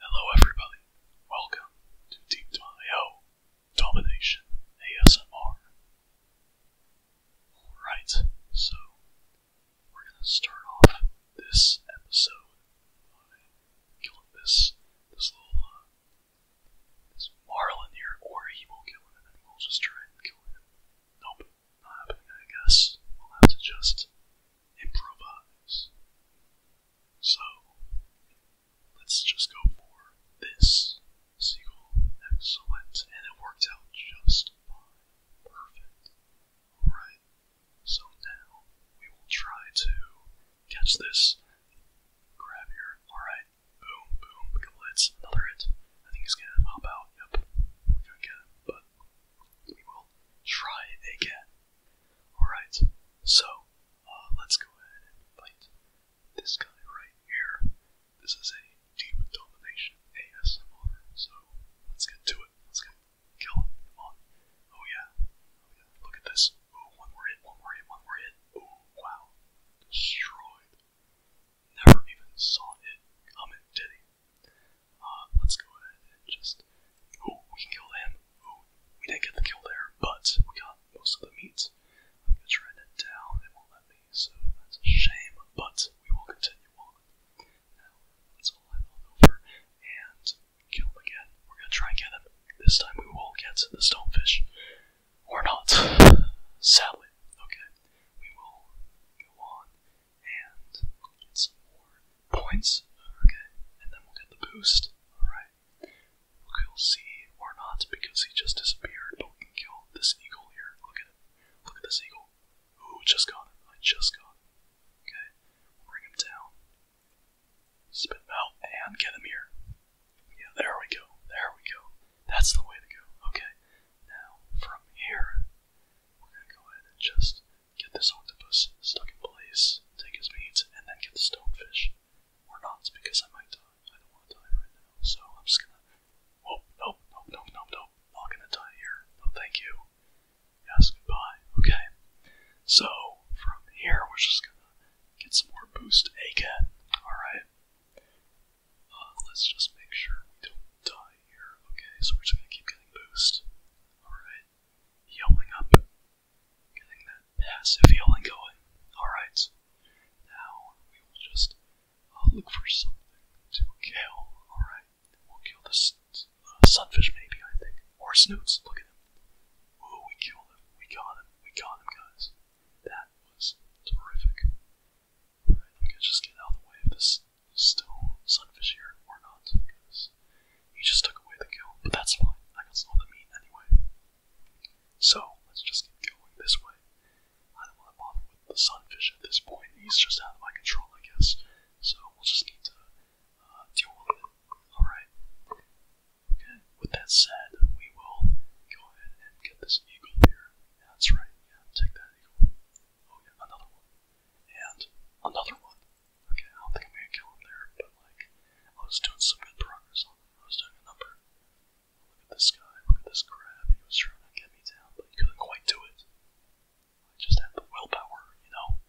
Hello everybody, welcome to Deep.io Domination ASMR. Alright, so we're gonna start off this episode by killing this this little uh, this Marlin here, or he will kill him we'll just try and him. Nope, not happening I guess. We'll have to just improvise. So, let's just go for this sequel. Excellent. And it worked out just fine. Perfect. Alright, so now we will try to catch this. Grab here. Alright. Boom, boom. Let's another hit. I think he's gonna hop out. Yep. We gotta get him, but we will try again. Alright, so uh, let's go ahead and fight this guy right here. This is a Deep Domination ASMR, so let's get to it. Let's get kill him. Come on. Oh yeah. Oh, Look at this. Oh, one more hit, one more hit, one more hit. Oh wow. Destroyed. Never even saw it coming, did he? Uh, let's go ahead and just. Oh, we can kill we didn't get the kill there, but we got most of the meat. I'm gonna try that down. It won't let me, so that's a shame. But we will continue on. Now all head on over and kill him again. We're gonna try and get them. This time we will get the stonefish. Or not. Sadly. Okay. We will go on and get some more points. Okay, and then we'll get the boost. Alright. We'll see, or not, because he just disappeared, but we can kill this eagle here. Look at it. Look at this eagle. Ooh, just got him. I just got him. Okay, bring him down. Spit out and get him here. Yeah, there we go. There we go. That's the way to go. Okay, now from here, we're gonna go ahead and just get this octopus stuck in place, take his meat, and then get the stonefish. Or not, because I might die. I don't want to die right now, so I'm just gonna. Oh, nope, nope, nope, nope, nope. Not gonna die here. No, thank you. Yes, goodbye. Okay. So, from here, we're just gonna get some more boost again. Alright. Uh, let's just make sure we don't die here. Okay, so we're just gonna keep getting boost. Alright. Yelling up, getting that passive yelling going. Alright, now we will just uh, look for something to kill. Alright, we'll kill the uh, sunfish, maybe, I think. Or snoots, look at him. Oh, we killed him. We got him. We got him, guys. That was terrific. Alright, I'm just get out of the way of this still sunfish here or not, he just took away the kill, but that's fine. I got some of meat anyway. So, let's just keep going this way. I don't want to bother with the sunfish at this point. He's just out of my control, I guess. So, we'll just need to uh, deal with it. Alright. Okay, with that said, we will go ahead and get this eagle here. that's right. Yeah, take that eagle. Oh, yeah, another one. And another one. Okay, I don't think I'm gonna kill him there, but like, I was doing some good progress I was doing a number. Look at this guy, look at this crap. He was trying to get me down, but he couldn't quite do it. I just had the willpower, you know?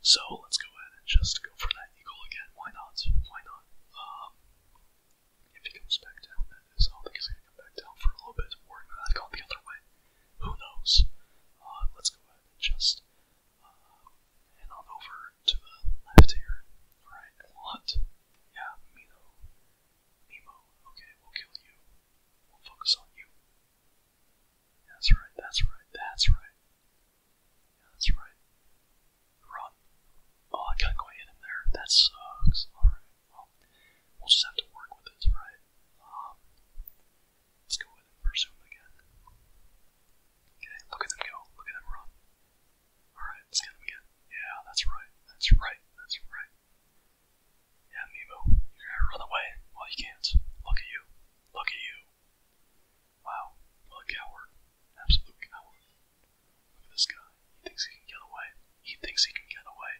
So let's go ahead and just go for that eagle again. Why not? Why not? Um, if he comes back down, that is. I don't think he's gonna come back down for a little bit. Or not go the other way who knows? Uh, let's go ahead just uh, on over to the left here. Alright, what? Yeah, Mino. Nemo. Okay, we'll kill you. We'll focus on you. That's right, that's right, that's right. that's right. Run. Oh, I can't quite there. That sucks. Alright, well, we'll just have to work with it, right? Um, Let's go ahead and pursue him again. Okay, look at them go. Look at them run. Alright, let's get him again. Yeah, that's right. That's right. That's right. Yeah, Mimo, you're gonna run away. Well, you can't. Look at you. Look at you. Wow, coward. Absolute coward. Look at this guy. He thinks he can get away. He thinks he can get away.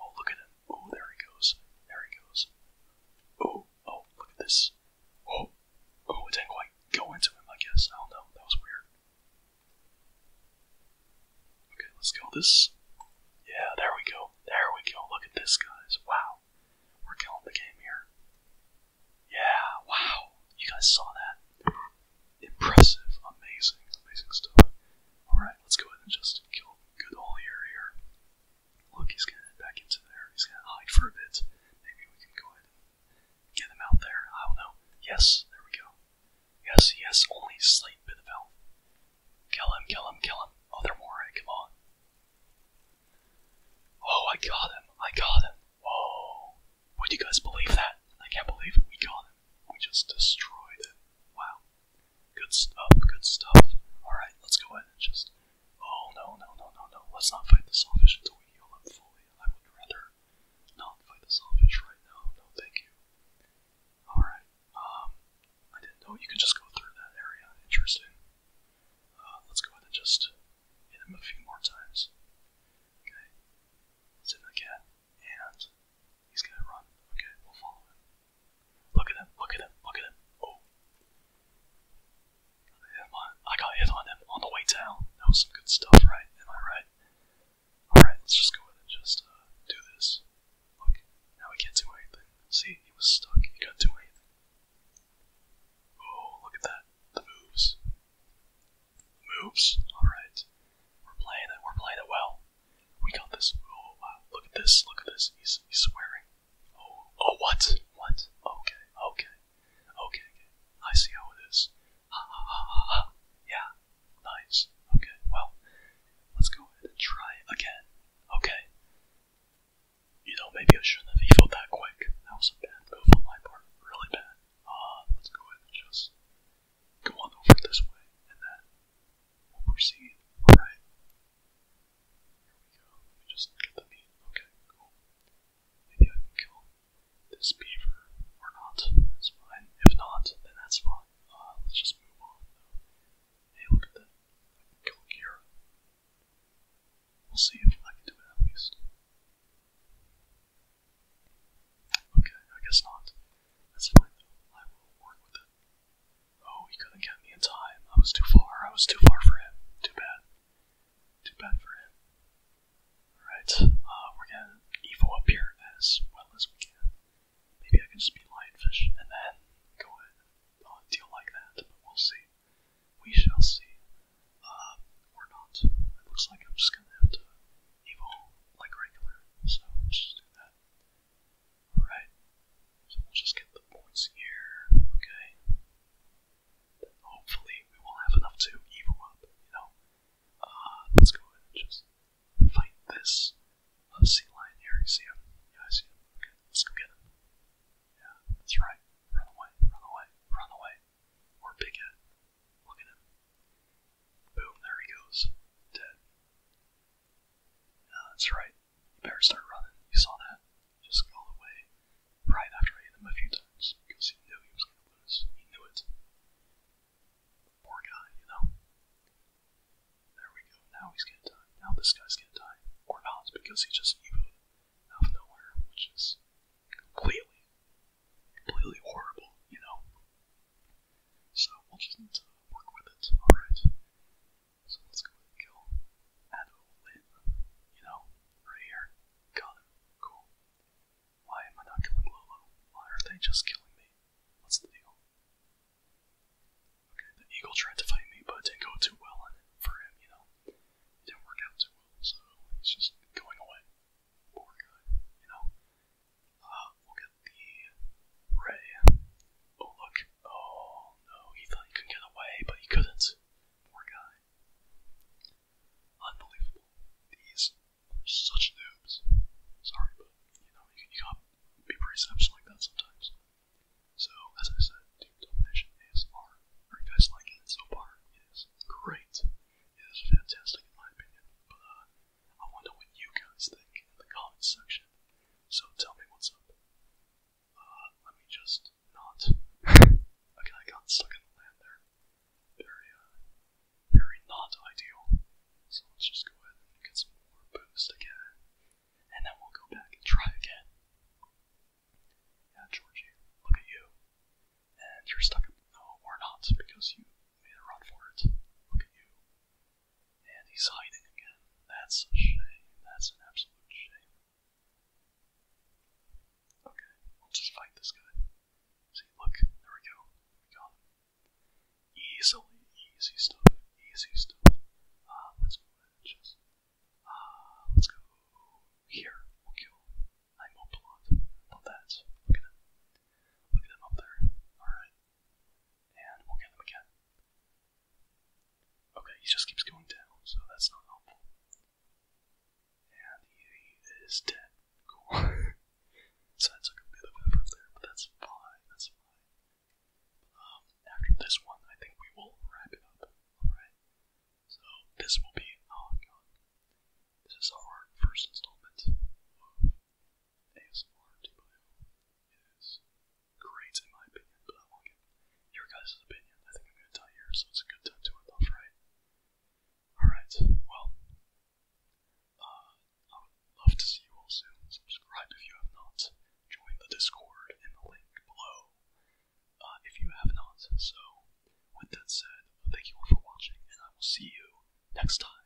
Oh, look at him. Oh, there he goes. There he goes. Oh, oh, look at this. Oh, oh, it didn't quite go into him, I guess. Oh no, That was weird. Okay, let's go. this. Yeah, there we go. There we go. Look at this, guys. Wow. We're killing the game here. Yeah, wow. You guys saw that. Impressive. Amazing. Amazing stuff. Alright, let's go ahead and just kill good old here here. Look, he's gonna head back into there. He's gonna hide for a bit. Maybe we can go ahead get him out there. I don't know. Yes, there we go. Yes, yes. only a slight bit of health. Kill him, kill him, kill him. Oh, they more, come on. Oh, I got him. I got him. Whoa. Would you guys believe that? I can't believe We got him. We just destroyed it. Wow. Good stuff, good stuff. Alright, let's go ahead and just. Oh no, no, no, no, no. Let's not fight the sawfish until we heal him fully. I would rather not fight the sawfish right now. No, thank you. Alright, um, I didn't know you could just go through that area. Interesting. Uh, let's go ahead and just hit him a few more times. Okay. Sit in the cat, and he's gonna run. Okay, we'll follow him. Look at him! look at him! look at him! Oh. I got hit on them on the way down. That was some good stuff, right? Am I right? Alright, let's just go ahead and just uh, do this. Look, now we can't do anything. See, he was stuck. He got too do Oh, look at that. The moves. moves. Alright. We're playing it. We're playing it well. We got this. Oh wow! Look at this! Look at this! He's he's swearing. Oh oh what? What? Okay okay okay. okay. I see how it is. Ha ha ha ha ha. Yeah. Nice. Okay. Well, let's go ahead and try again. Okay. You know, maybe I shouldn't have evoed that quick. That was a bad move on my part. Really bad. Uh, let's go ahead and just go on over this way, and then we'll Alright. go. just look the meat. Okay, cool. Maybe I can kill this beaver or not. That's fine. If not, then that's fine. Uh, let's just move on. Hey, look at that. I can kill We'll see if I can do it at least. Okay, I guess not. That's fine I will work with it. Oh, he couldn't get me in time. I was too far. I was too far for him. Too bad. Too bad for him. Alright, uh, we're gonna evo up here as well as we can. Maybe I can just be lionfish and then go ahead and uh, deal like that, but we'll see. We shall see. Uh, um, or not. looks like I'm just gonna have to evo like regular, so let's do that. Alright, so we'll just get the points here, okay? hopefully we will have enough to evil up, uh, let's go ahead and just fight this uh, sea lion here. see him? Yeah, I see him. let's go get him. Yeah, that's right. Run away, run away, run away. Or Big Head. Look at him. Boom, there he goes. Dead. Yeah, that's right. You better start running. You saw that? Just go all the way. Right after I hit him a few times, because he knew he was going to lose. He knew it. Poor guy, you know? There we go. Now he's going to die. Now this guy's going to die. Or not, because he just evoed out of nowhere, which is completely, completely horrible, you know? So we'll just need to work with it. Alright. So let's go kill Adol You know, right here. Got him. Cool. Why am I not killing Lolo? Why are they just killing me? What's the deal? Okay, the eagle tried to fight me, but didn't go too well for him, you know. didn't work out too well, so he's just going away. Poor guy, you know. Uh, we the ray. Oh, look. Oh, no. He thought he could get away, but he couldn't. Poor guy. Unbelievable. These such noobs. Sorry, but, you know, you, you gotta be pretty selfish like that sometimes. So, as I said, Team Domination ASMR, or you guys like it so far, It's great. It is fantastic, in my opinion. But, uh, I wonder what you guys think in the comments section. So tell me what's up. Uh, let me just not. okay, I got stuck in the land uh, Very, not ideal. So let's just go ahead and get some more boost again. And then we'll go back and try again. Yeah, Georgie, look at you. And you're stuck in. No, or not, because you made a run for it. Look at you. And he's hiding again. That's a shame. That's an absolute shame. Okay, we'll just fight this guy. See, look, there we go. got him. Easily, easy stuff, easy stuff. Uh, let's move edges. Ah, let's go here. We'll kill. I'm up a lot. Love that. Look at him. Look at him up there. Alright. And we'll get them again. Okay, he just keeps going down, so that's not helpful. And he is dead. Cool. so that took a bit of there, but that's fine, that's fine. Um, after this one, I think we will wrap it up. Alright. So this will be oh This is our first installment ASMR 2.0 is great in my opinion, but I won't get your guys' opinion. I think I'm going to tell yours, so it's a good time to end off right. Alright, well, uh, I would love to see you all soon. Subscribe if you have not. Join the Discord in the link below uh, if you have not. So, with that said, thank you all for watching, and I will see you next time.